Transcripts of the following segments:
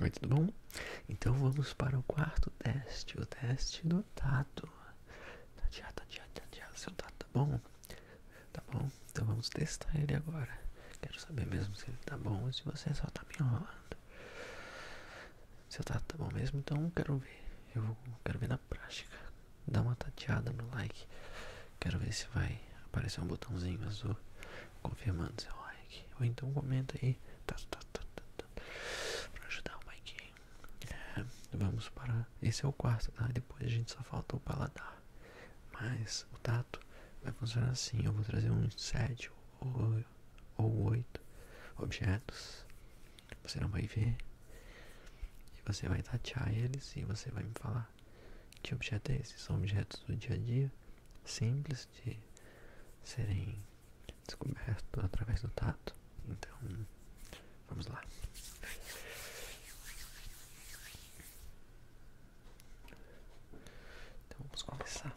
Oi, tudo bom? Então vamos para o quarto teste, o teste do tato. Tatiá, Tatiá, Tatiá, seu tato, tá bom? Tá bom? Então vamos testar ele agora. Quero saber mesmo se ele tá bom ou se você só tá me enrolando. Você tá, tá bom mesmo? Então quero ver. Eu quero ver na prática. Dá uma tateada no like. Quero ver se vai aparecer um botãozinho azul confirmando seu like. Ou então comenta aí. Tá, tá, tá, tá, pra ajudar o Mike. vamos para. Esse é o quarto, tá? Depois a gente só falta o paladar. Mas o tato vai funcionar assim. Eu vou trazer um 7 ou, ou oito objetos. Você não vai ver. E você vai tatear eles e você vai me falar que objeto é esse. São objetos do dia a dia, simples de serem descobertos através do tato. Então, vamos lá. Então vamos começar.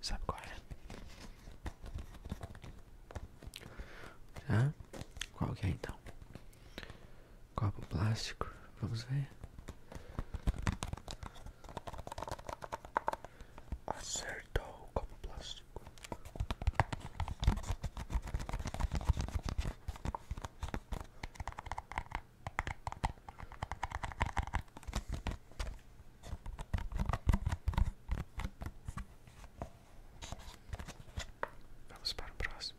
Sabe qual é? Já? Qual é então? Copo plástico, vamos ver. Acertou o copo plástico. Vamos para o próximo.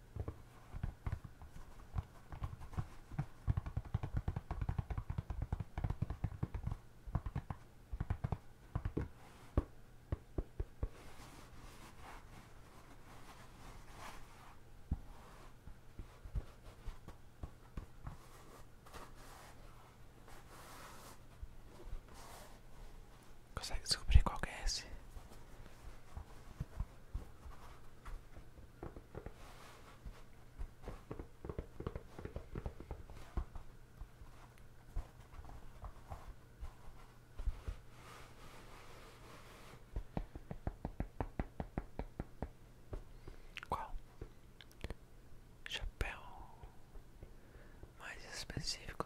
Consegue descobrir qual que é esse? Qual? Chapéu mais específico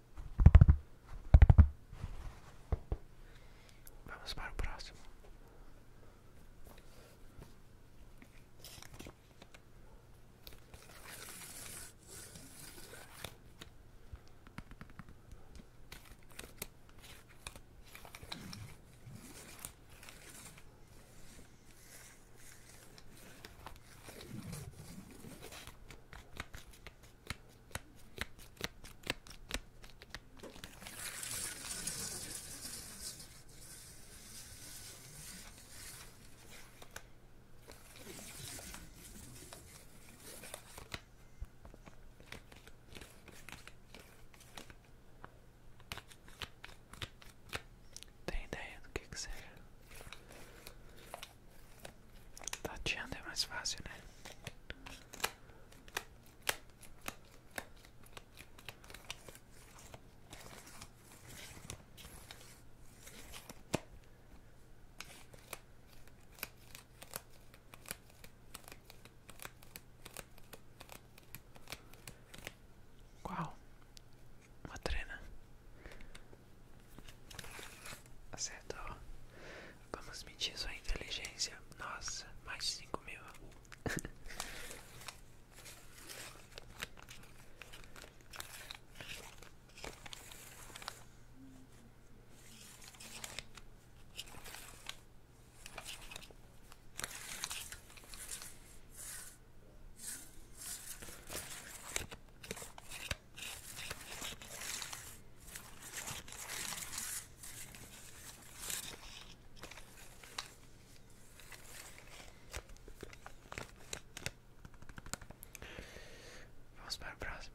Vamos para o próximo. Tem ideia do que que seja? Tateando é mais fácil, né? uau, Uma trena. Acertou. Vamos medir sua inteligência. Nossa, mais de 5 mil. Vamos para o próximo.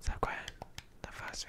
Sabe qual é? Tá fácil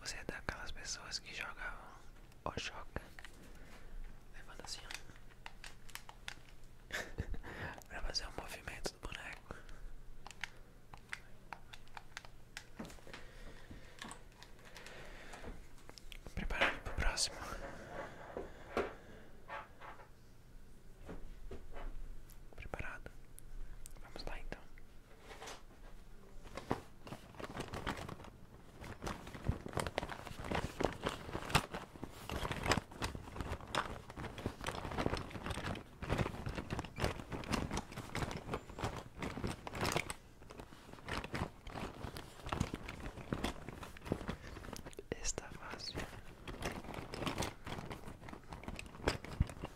Você é daquelas pessoas que jogavam o joga. levando assim, ó. pra fazer o um movimento do boneco. Preparado pro próximo. Preparado? Vamos lá então. Está fácil.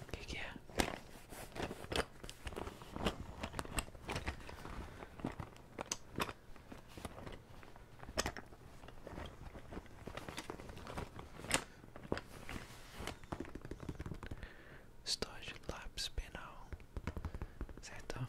O que, é? Estou de lápis penal, certo?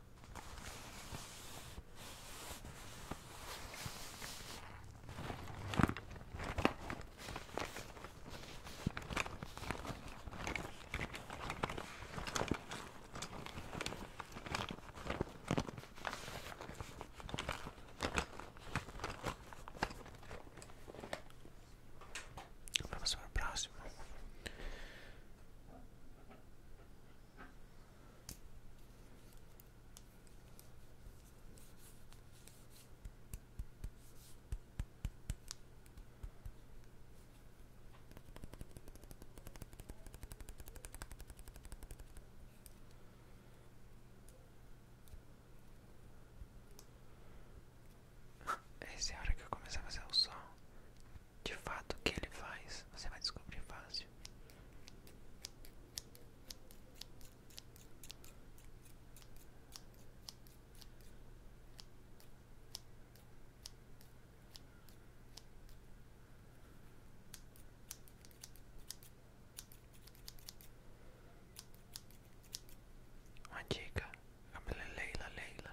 Vamos para o próximo. Essa é a hora que eu começo a fazer o som de fato o que ele faz, você vai descobrir fácil. Uma dica, Leila Leila.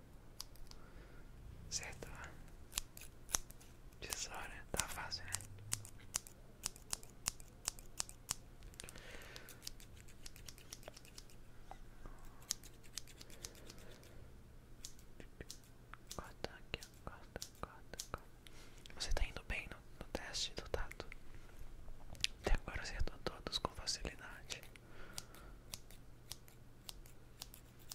Certo? Tesoura, tá fácil, né? Corta aqui, corta, corta, corta. Você tá indo bem no, no teste do tato. Até agora acertou todos com facilidade.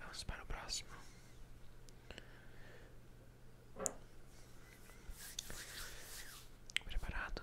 Vamos para o próximo. Preparado?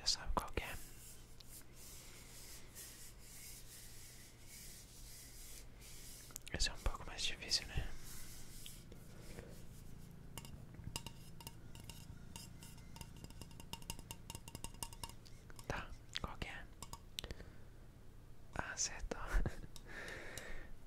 Já sabe qual que é? Esse é um pouco mais difícil, né? Tá, qual que é? Ah, acertou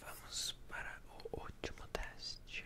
Vamos para o último teste.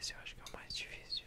Esse eu acho que é o mais difícil.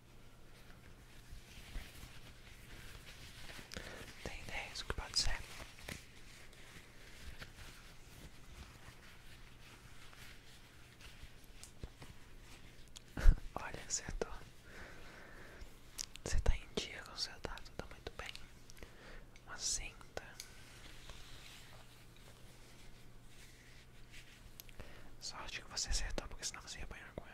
Tem ideias do que pode ser? Olha, acertou. Você está em dia com o seu dado, está muito bem. Uma cinta. Sorte que você acertou, porque senão você ia apanhar com ela.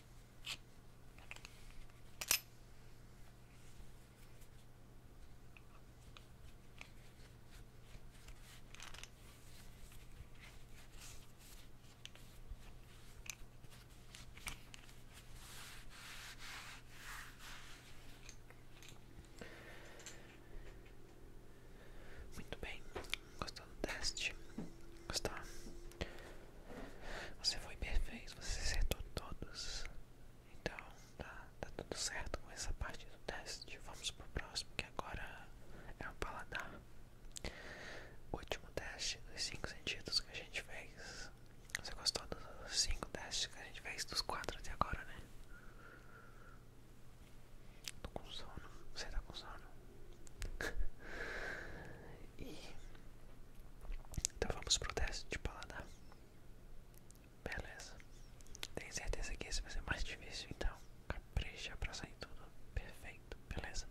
Muito bem, gostou do teste? Gostou? Você foi perfeito, você acertou todos. Então tá, tá tudo certo com essa parte do teste. Vamos pro próximo que agora é um paladar. último teste dos 5 sentidos que a gente fez. Você gostou dos 5 testes que a gente fez? Dos 4 até agora, né? Tô com sono. Você tá com sono? então vamos pro teste de paladar. Beleza. Tenho certeza que esse vai ser mais difícil, então capricha para sair tudo perfeito, beleza?